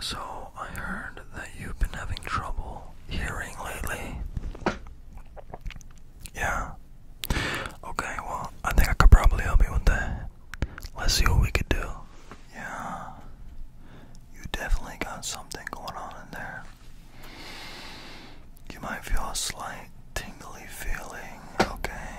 So, I heard that you've been having trouble hearing lately. Yeah. Okay, well, I think I could probably help you with that. Let's see what we could do. Yeah. You definitely got something going on in there. You might feel a slight tingly feeling, okay?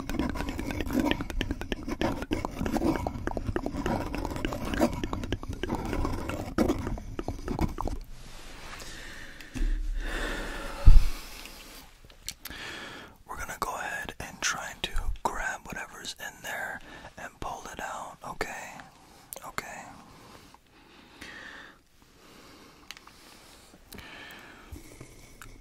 We're going to go ahead and try to grab whatever's in there and pull it out, okay? Okay.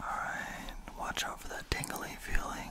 Alright, watch out for that tingly feeling.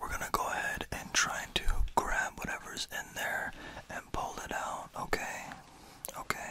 We're gonna go ahead and try to grab whatever's in there and pull it out, okay? Okay.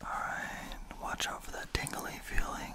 Alright, watch out for that tingly feeling.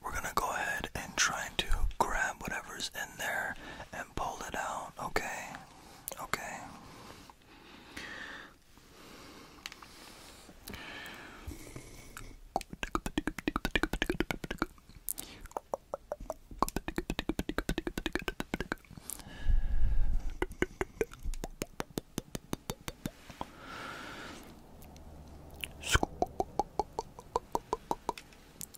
We're going to go ahead and try to grab whatever's in there and it out. Okay. Okay.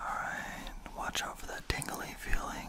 All right, watch out for that tingly feeling.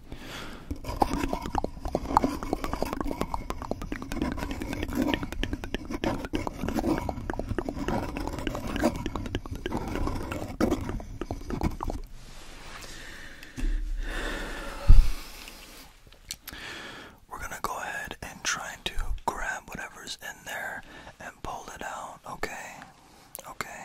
We're going to go ahead and try to grab whatever's in there and pull it out, okay? Okay.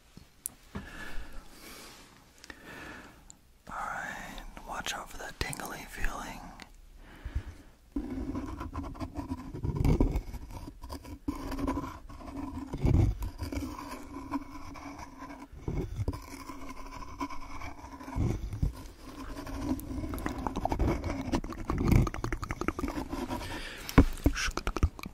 Alright, watch out for that tingly feeling.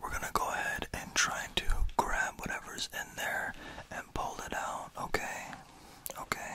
We're gonna go ahead and try to grab whatever's in there and pull it out, okay? Okay.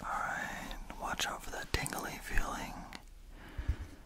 All right, watch out for that tingly feeling.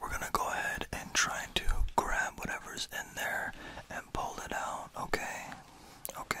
we're gonna go ahead and try to grab whatever's in there and pull it out, okay? Okay.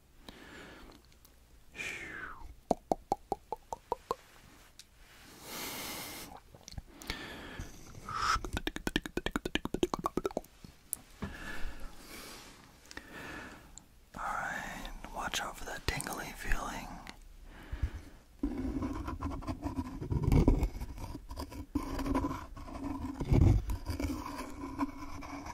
Alright, watch out for that tingly feeling.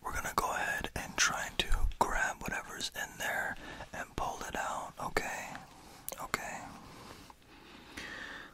We're going to go ahead and try to grab whatever's in there and pull it out, okay? Okay.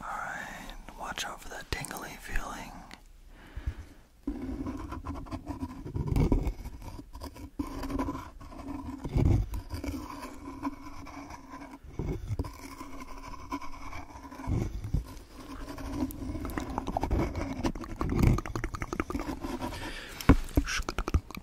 Alright, watch out for that tingly feeling.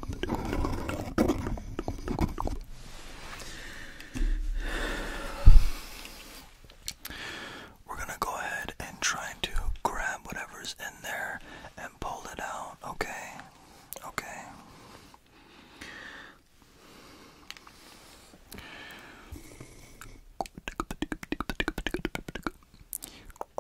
We're going to go ahead and try to grab whatever's in there and pull it out, okay? Okay.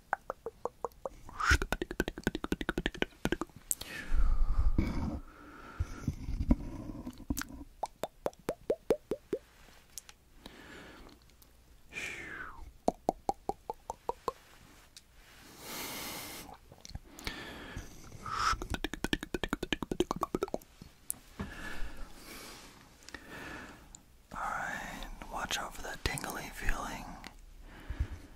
All right, watch out for that tingly feeling.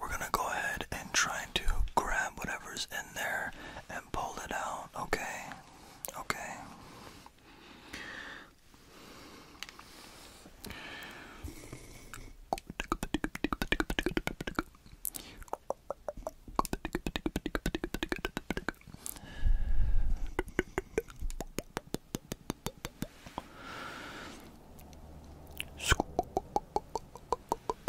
We're gonna go ahead and try to grab whatever's in there and pull it out, okay? Okay.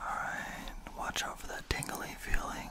All right, watch out for that tingly feeling.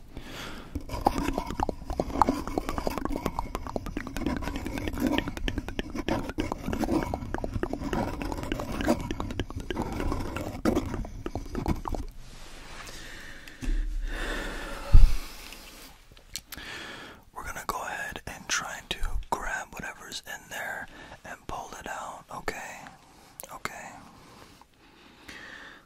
We're going to go ahead and try to grab whatever's in there and pull it out, okay? Okay.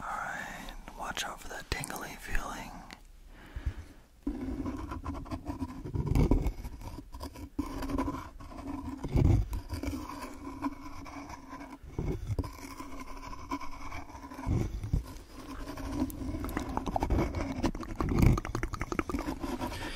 Alright, watch out for that tingly feeling.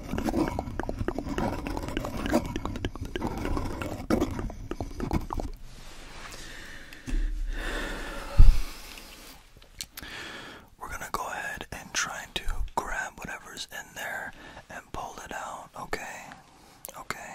We're going to go ahead and try to grab whatever's in there and pull it out, okay? Okay.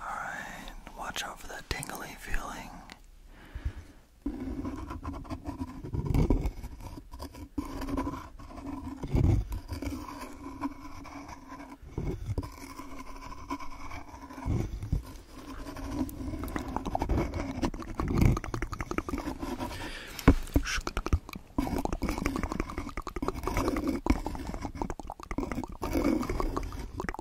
Alright, watch out for that tingly feeling.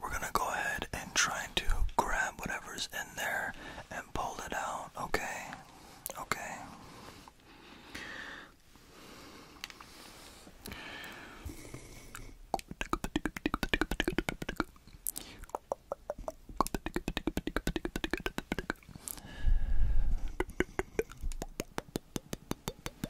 We're gonna go ahead and try to grab whatever's in there and pull it out, okay? Okay.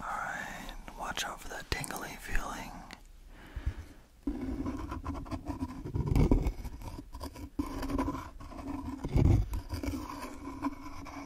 Alright, watch out for that tingling feeling.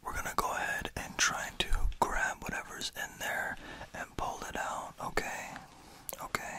We're going to go ahead and try to grab whatever's in there and pull it out, okay? Okay.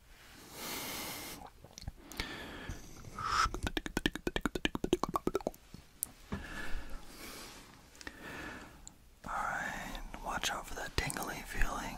Alright, watch out for that tingly feeling.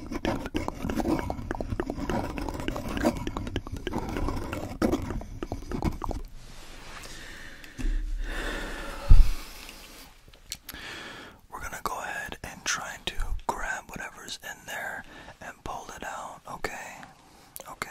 We're going to go ahead and try to grab whatever's in there and pull it out, okay? Okay.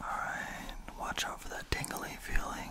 Alright, watch out for that tingly feeling.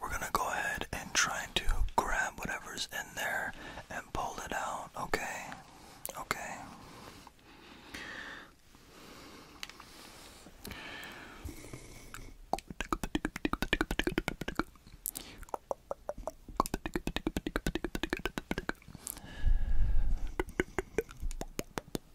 We're gonna go ahead and try to grab whatever's in there and pull it out, okay? Okay.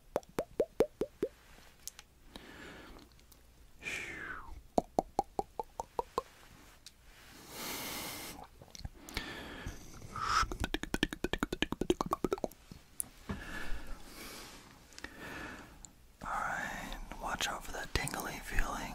All right, watch out for that tingly feeling.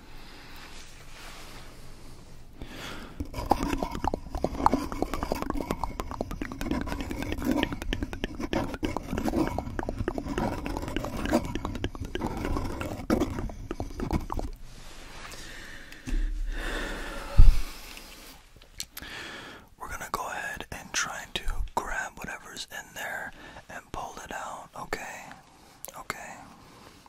We're going to go ahead and try to grab whatever's in there and pull it out, okay? Okay.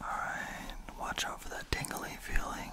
Alright, watch out for that tingly feeling.